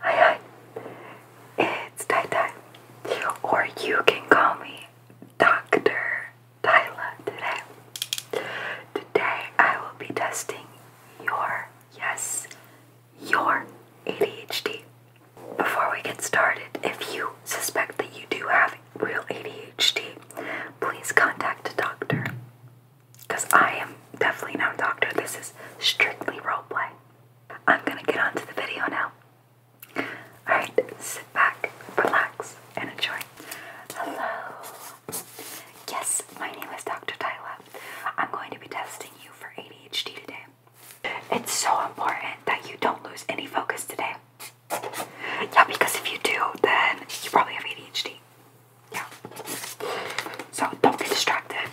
Hi, hi. It's Tai Or you can call me Dr. Tyla today. Today I will be testing your yes your ADHD. Before we get started, if you suspect that you do have real ADHD, please contact a doctor. Because I am definitely not a doctor, this is strictly roleplay. I'm gonna get on to the video now. Alright, sit back, relax, and enjoy. Hello, Yes, my name is Dr. Tyler. I'm going to be testing you for ADHD today. It's so important that you don't lose any focus today. Yeah, because if you do, then you probably have ADHD. Yeah. So don't get distracted.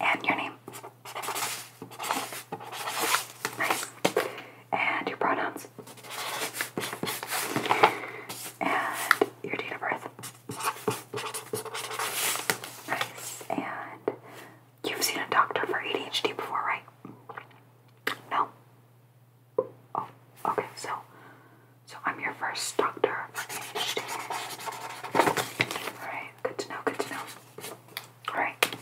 And your name. Nice. And your pronouns. And your date of birth. Nice. And you've seen a doctor for ADHD before, right? No. Oh, okay. So, so I'm your first doctor for Good to know. Good to know. All right.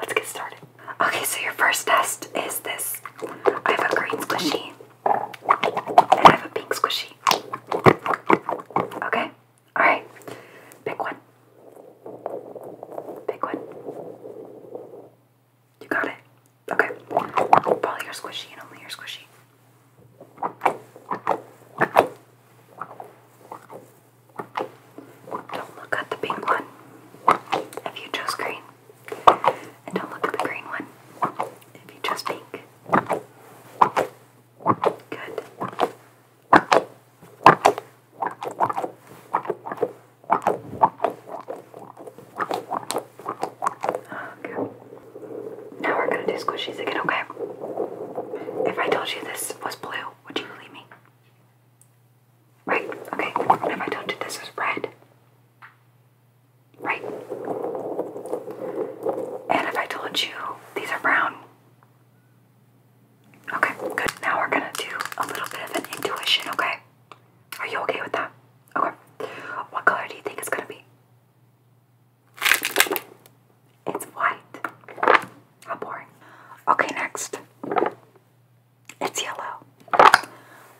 Let's get started. Okay, so your first test is this. I have a green squishy. I have a pink squishy. Okay? Alright. Pick one. Pick one. You got it. Okay. Probably your squishy and only your squishy. Don't look at the pink one. If you chose green. And don't look at the green one. If you chose pink. Good. Okay. Now we're gonna do squishies again, okay? If I told you this was blue, would you believe me? Right, okay. If I told you this was red, Right. And if I told you these are brown. Okay, good. Now we're gonna do a little bit of an intuition, okay? Are you okay with that? Okay. What color do you think it's gonna be? It's white. How boring. Okay, next. It's yellow.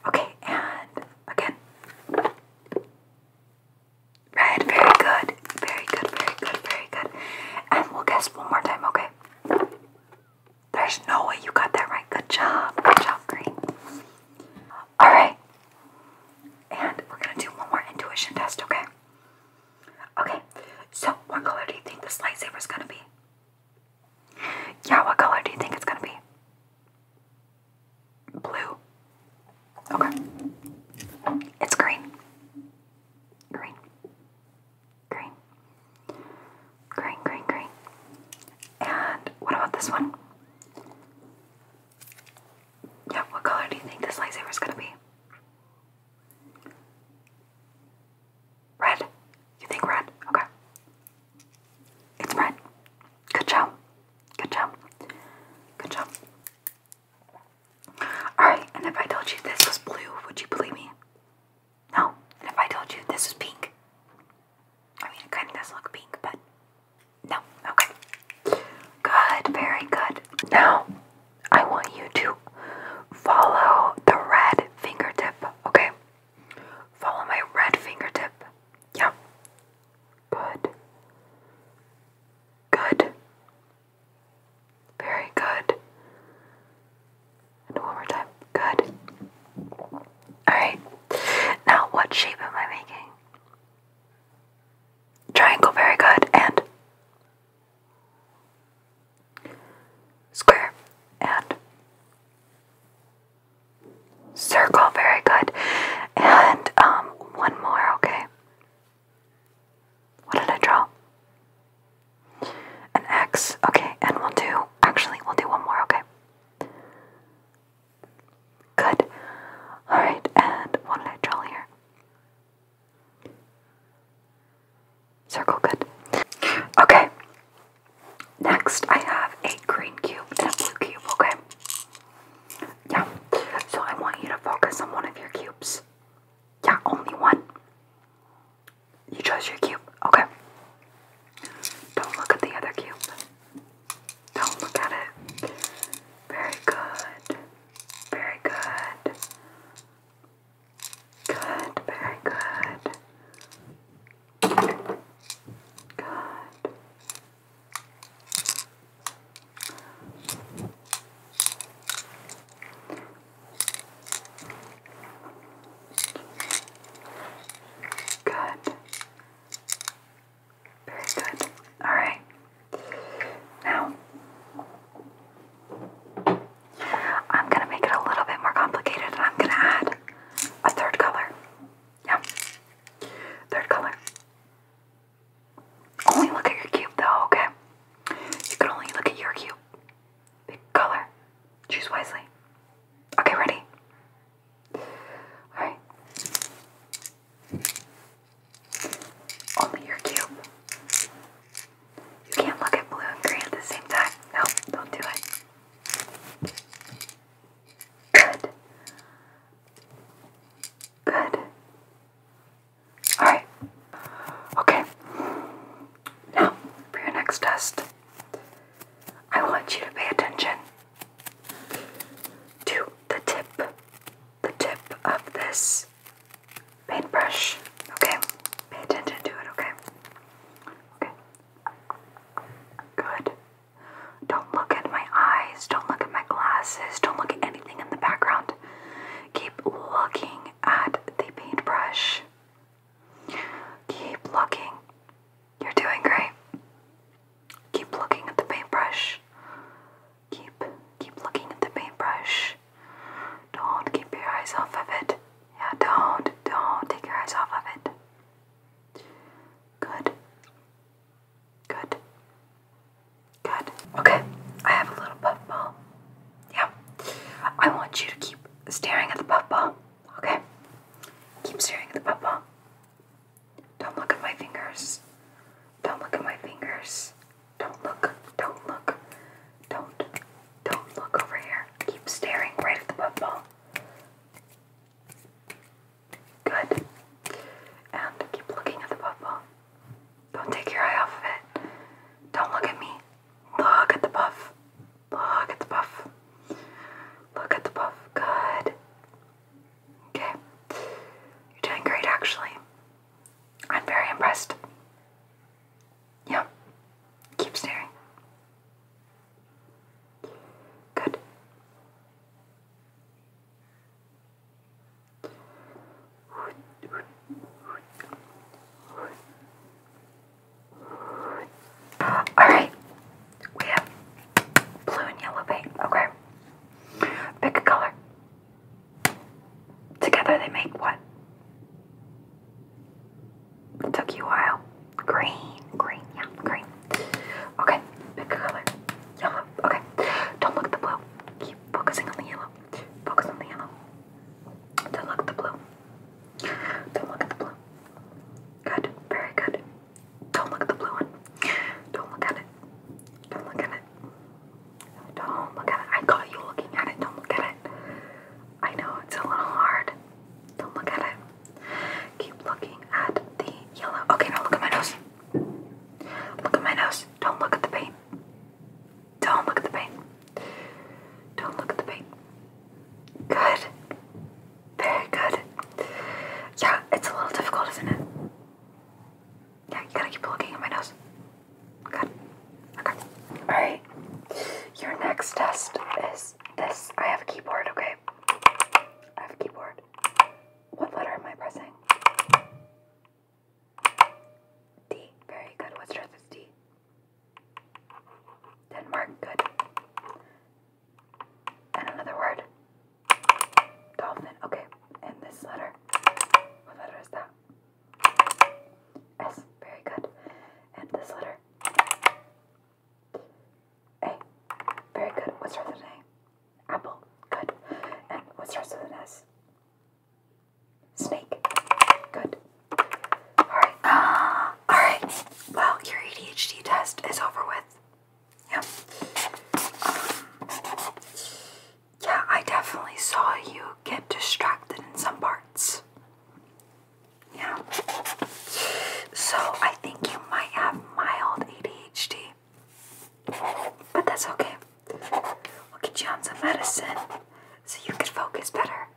Okay, and again. Right, very good. Very good, very good, very good. And we'll guess one more time, okay? There's no way you got that right. Good job. Good job, Green. Alright. And we're gonna do one more intuition test, okay? Okay, so what color do you think this lightsaber is gonna be? Yeah, what color do you think it's gonna be? Blue. Okay. It's green. Green. Green. Green, green, green. And what about this one? Yeah, what color do you think this lightsaber is going to be? Red. You think red? Okay. It's red. Good job. Good job. Good job. Alright, and if I told you this was blue, would you believe me? No. And if I told you this was pink? I mean, it kind of does look pink, but no. Okay. Good, very good. Now, I want you to follow the red fingertip, okay? Follow my red fingertip. Yep. Good. Good. Very good. And one more time. Good. Alright. Now, what shape am I making? Triangle, very good. And square. And Circle, very good. And um, one more, okay. What did I draw? An X, okay, and we'll do, actually, we'll do one more, okay. Good. Alright, and what did I draw here? Circle, good. Okay, Next, I have a green cube and a blue cube, okay? Yeah, so I want you to focus on one of your cubes. Yeah, only one. You chose your cube, okay? Don't look at the other cube. Don't look at it. Very good. Very good. Good, very good. Good. Very good. All right. Now, I'm going to make it a little bit more complicated and I'm going to add a third color. Yeah. Third color. Only look at your cube though, okay? You can only look at your cube. Big color. Choose wisely. Okay, ready? Alright. Only your cube. You can't look at blue and green at the same time. No, don't do it. Good. Good. Alright. Okay. Now, for your next test, I want you to pay attention to the tip, the tip of this paintbrush. Okay? Pay attention to it, okay? Okay. Good. Don't look at my eyes, don't look at my glasses, don't look at anything in the background. Keep looking at the paintbrush. Keep looking. You're doing great. Keep looking at the paintbrush. Keep keep looking at the paintbrush. Don't keep your eyes off of it. Yeah, don't, don't take your eyes off of it. Good. Good. Good. Okay, I have a little puffball. Yeah. I want you to keep staring at the puffball. Okay? Keep staring at the puffball. Don't look at my fingers. Don't look at my fingers. Don't look. Don't look. Don't. Don't look over here. Keep staring right at the puffball. Good. And keep looking at the ball. Don't take your eye off of it. Don't look at me. Look at the puff. Look at the puff. Look at the puff. Good. Okay. You're doing great, actually. I'm very impressed. Yeah. Keep staring. Good. Alright, we have blue and yellow paint. Okay. Pick a color. Together they make what? It took you a while. Green, green, yeah, green. Okay, pick a color. Yellow, okay. Don't look at the blue. Keep focusing on the yellow. Focus on the yellow. Don't look at the blue. Don't look at the blue. Good, very good. Don't look at the blue one. Don't look at it. Don't look at it. Don't look at it. I caught you looking at it. Don't look at it. I know it's a little hard. Don't look at it. Keep looking at the yellow. Okay, now look at my nose. Look at my nose. Don't look at the paint. Don't look at the paint. Don't look at the paint. Good. Very good. Yeah, it's a little difficult, isn't it? Yeah, you gotta keep looking at my nose. Good. Okay. Alright. Your next test is this. I have a keyboard, okay? Okay. keyboard. What letter am I pressing? D. Very good. What stress is D? Denmark. Good. And another word. Dolphin. Okay. And this letter. What letter is that? S. Very good. And this letter. A. Very good. What starts with an A? Apple. Good. And what starts with an S? Snake. Good. Alright. Uh, Alright. Well, your ADHD test is over with. Yep. Um, yeah, I definitely saw you get distracted in some parts. Yeah. So I think you might have mild ADHD. But that's okay. We'll get you on some medicine so you can focus better.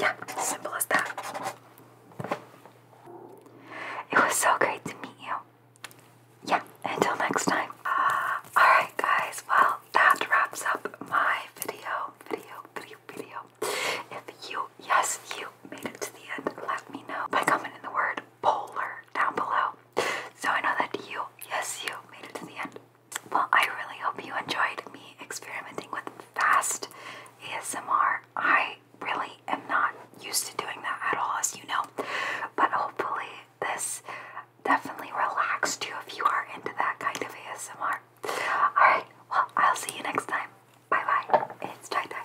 Yeah, simple as that. It was so great to meet you. Yeah, until next time. Alright, guys, well, that wraps up my video, video, video, video. If you, yes, you made it to the end, let me know by commenting the word polar down below. So I know that you, yes, you made it to the end. Well, I really hope you enjoyed me experimenting with fast ASMR. I really am not used to doing that at all, as you know, but hopefully this definitely relaxed you if you are into that kind of ASMR. Alright, well, I'll see you next time. Bye bye. It's tie dye.